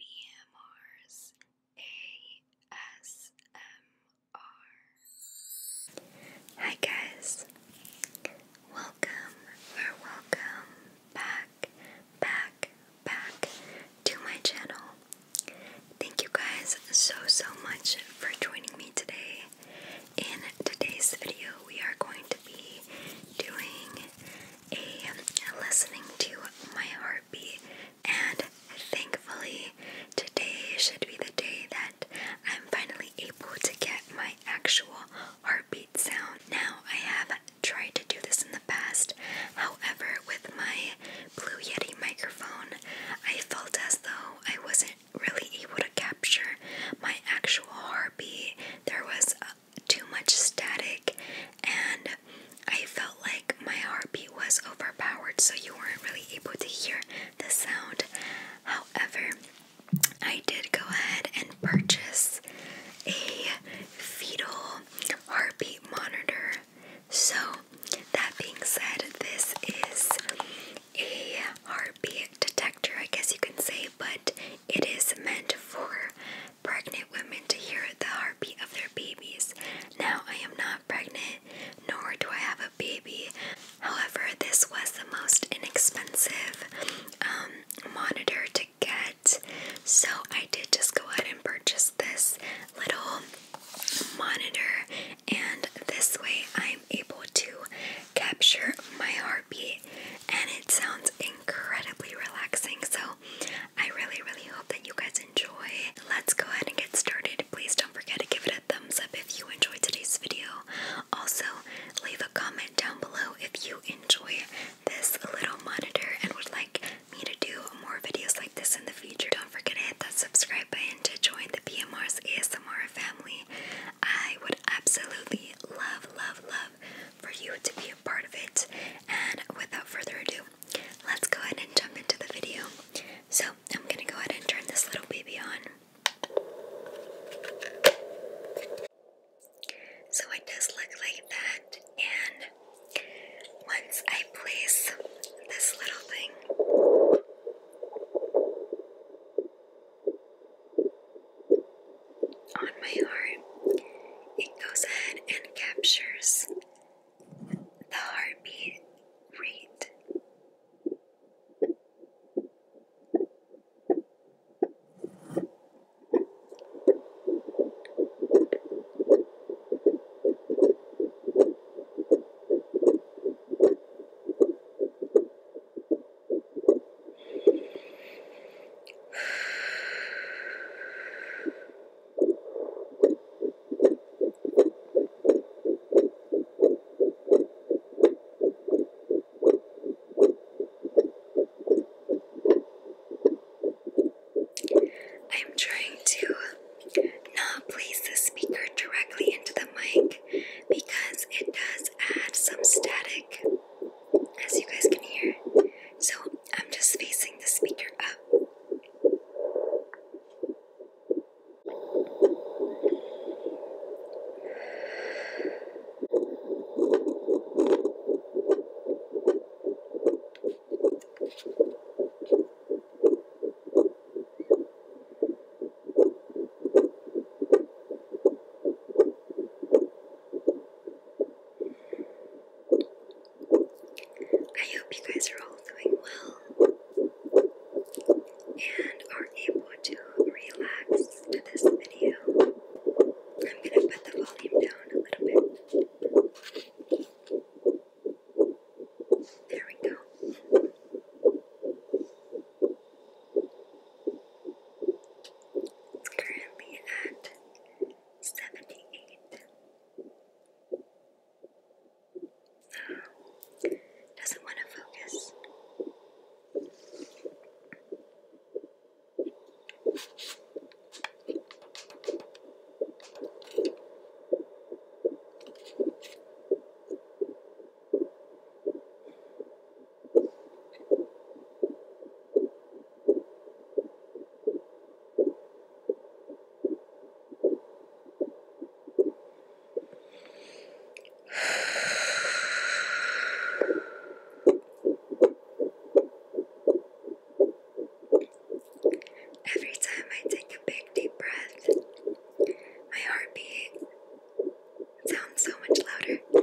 BMR's Hi, guys. Welcome or welcome back, back, back to my channel. Thank you guys so, so much for joining me today. In today's video, we are going to be doing a listening to my heartbeat, and thankfully, today should be the day that I'm finally able to get my actual heartbeat sound. Now, I have tried to do this in the past, however, with my Blue Yeti microphone, I felt as though I wasn't really able to capture my actual heartbeat. There was too much static and I felt like my heartbeat was overpowered, so you weren't really able to hear the sound. However, I did go ahead and purchase a fetal heartbeat monitor. So, that being said, this is a heartbeat detector, I guess you can say, but it is meant for pregnant women to hear the heartbeat of their babies. Now, I am not pregnant, nor do I have a baby. However, this was the most inexpensive um, monitor to get, so I did just go ahead and purchase this little monitor, and this way I'm able to capture my heartbeat, and it sounds incredibly relaxing. So, I really, really hope that you guys enjoy. Let's go ahead and get started. Please don't forget to give it a thumbs up if you enjoyed today's video. Also, leave a comment down below if you enjoy this little monitor and would like me to do more videos like this in the future. Don't forget to hit that subscribe button to join the PMR's ASMR family. I would absolutely love, love, love for you to be a part of it. And without further ado, let's go ahead and jump into the video. So, I'm gonna go ahead and turn this little baby on. So, it does look like that, and once I place this little thing, on my arm, it goes ahead and captures the heartbeat rate. I'm trying to not place the speaker directly into the mic because it does add some static, as you guys can hear. So I'm just facing the speaker up. I hope you guys are all doing well and are able to relax to this video. I'm gonna put the volume down a little bit. There we go. It's currently at 78. Doesn't want to focus. Every time I take a big deep breath, my heartbeat sounds so much louder.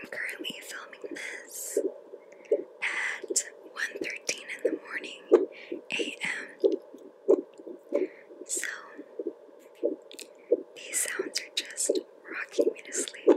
I'm currently filming this at 1.13 in the morning a.m. So these sounds are just rocking me to sleep.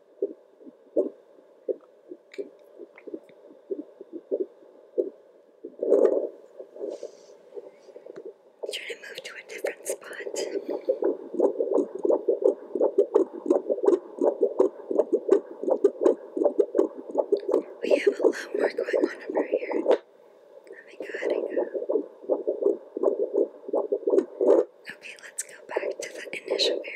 Try to move to a different spot. We have a lot more going on over here. Let oh me go ahead and go. Okay, let's go back to the initial area.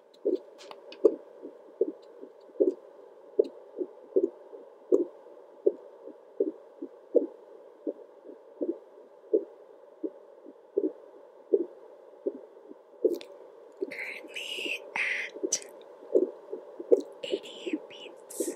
Currently at 80 beats.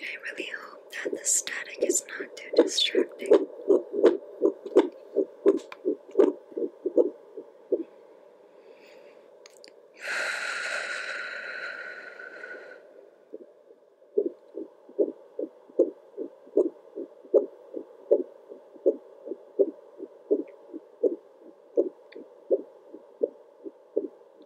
I really hope that the static is not too distracting.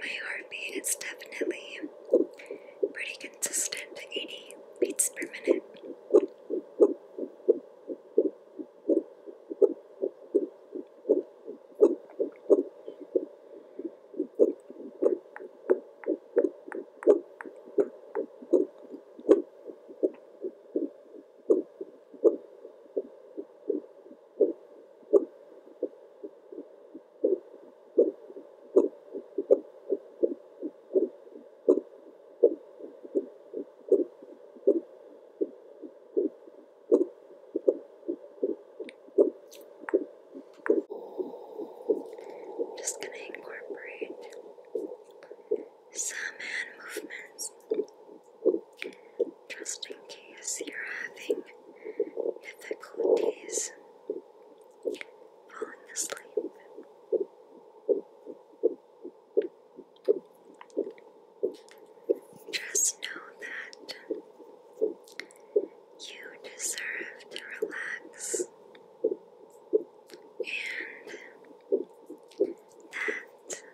my heartbeat is definitely pretty consistent 80 beats per minute. I'm just going to incorporate some hand movements just in case you're having difficulties falling asleep. Just know that you deserve to relax and that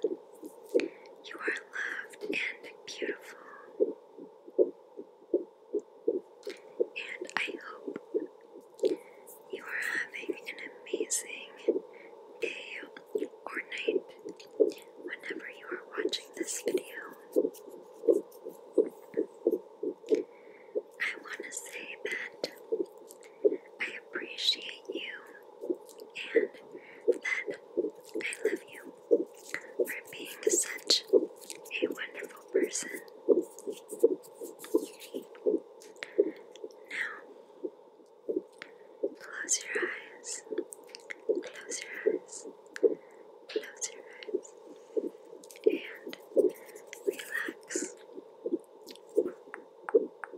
you are loved and beautiful. And I hope you are having an amazing day or night whenever you are watching this video. I want to say that I appreciate you and that I love you for being such a wonderful person. Now, close your eyes. Close your eyes. Close your eyes. And Relax.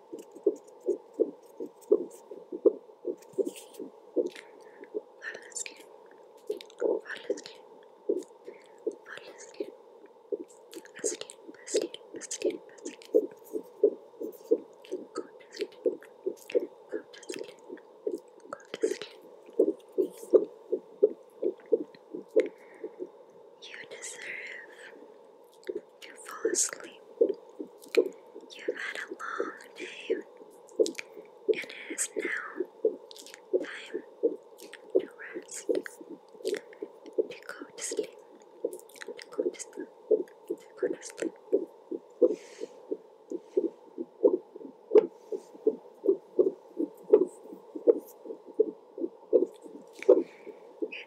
Follow the skin. Follow the skin. Follow the skin. The skin, the skin, the skin, the skin. Go to skin. Go You deserve you fall asleep. You've had a long day, and it is now time to rest. To go to sleep. To go to sleep. To go to sleep.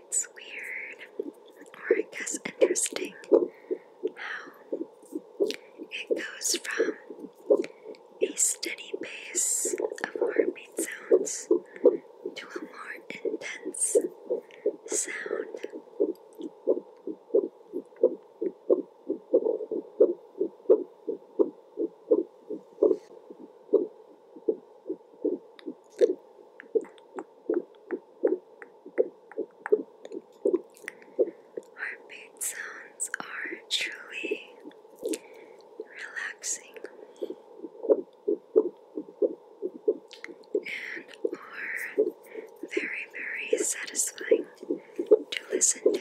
It's weird, or I guess interesting, how it goes from a steady pace of heartbeat sounds to a more intense sound. Armpit sounds are truly relaxing and are very, very satisfying to listen to.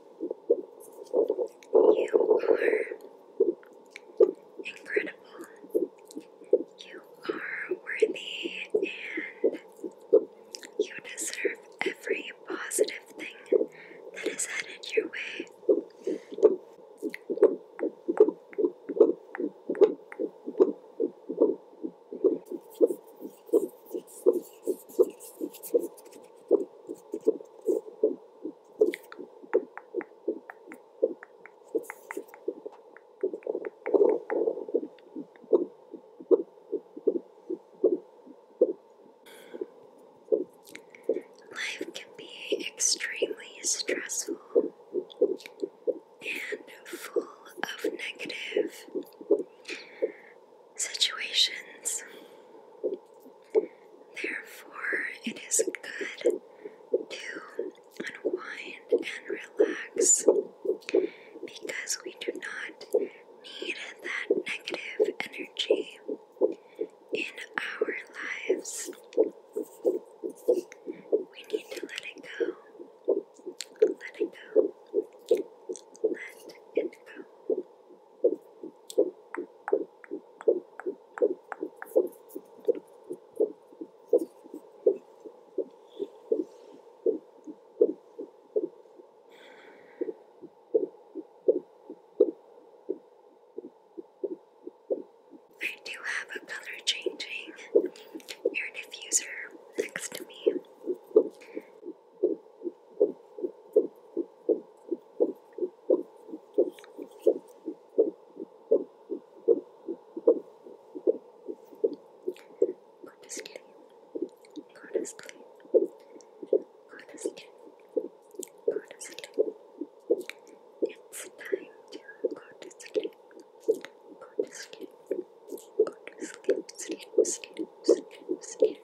You are incredible. You are worthy and you deserve every positive thing that is headed your way. Life can be extremely stressful and full of negative situations. Therefore, it is good to unwind and relax because we do not need that negative energy in our lives. We need to let it go. Let it go. Let it go. I do have a color changing air diffuser next to me. Go to sleep. Go to sleep. Go to sleep. Go to sleep. It's time to go to sleep. Go to sleep. Go to sleep. Sleep, sleep, sleep, sleep.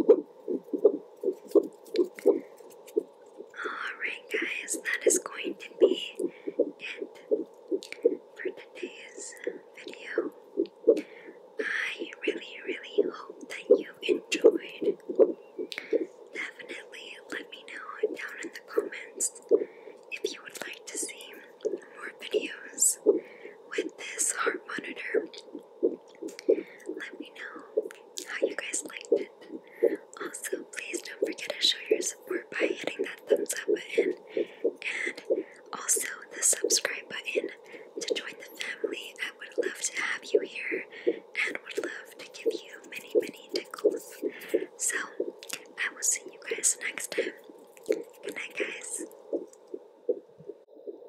Alright, guys, that is going to be it for today's uh, video. I really, really hope that you enjoyed. Definitely let me know down in the comments if you would like to see more videos with this heart monitor. Let me know how you guys liked it. Also, please don't forget to show your support by hitting that thumbs up button and also the subscribe button to join the family. I would love to have you here and would love to give you many, many tickles. So, I will see you guys next time. Good night, guys.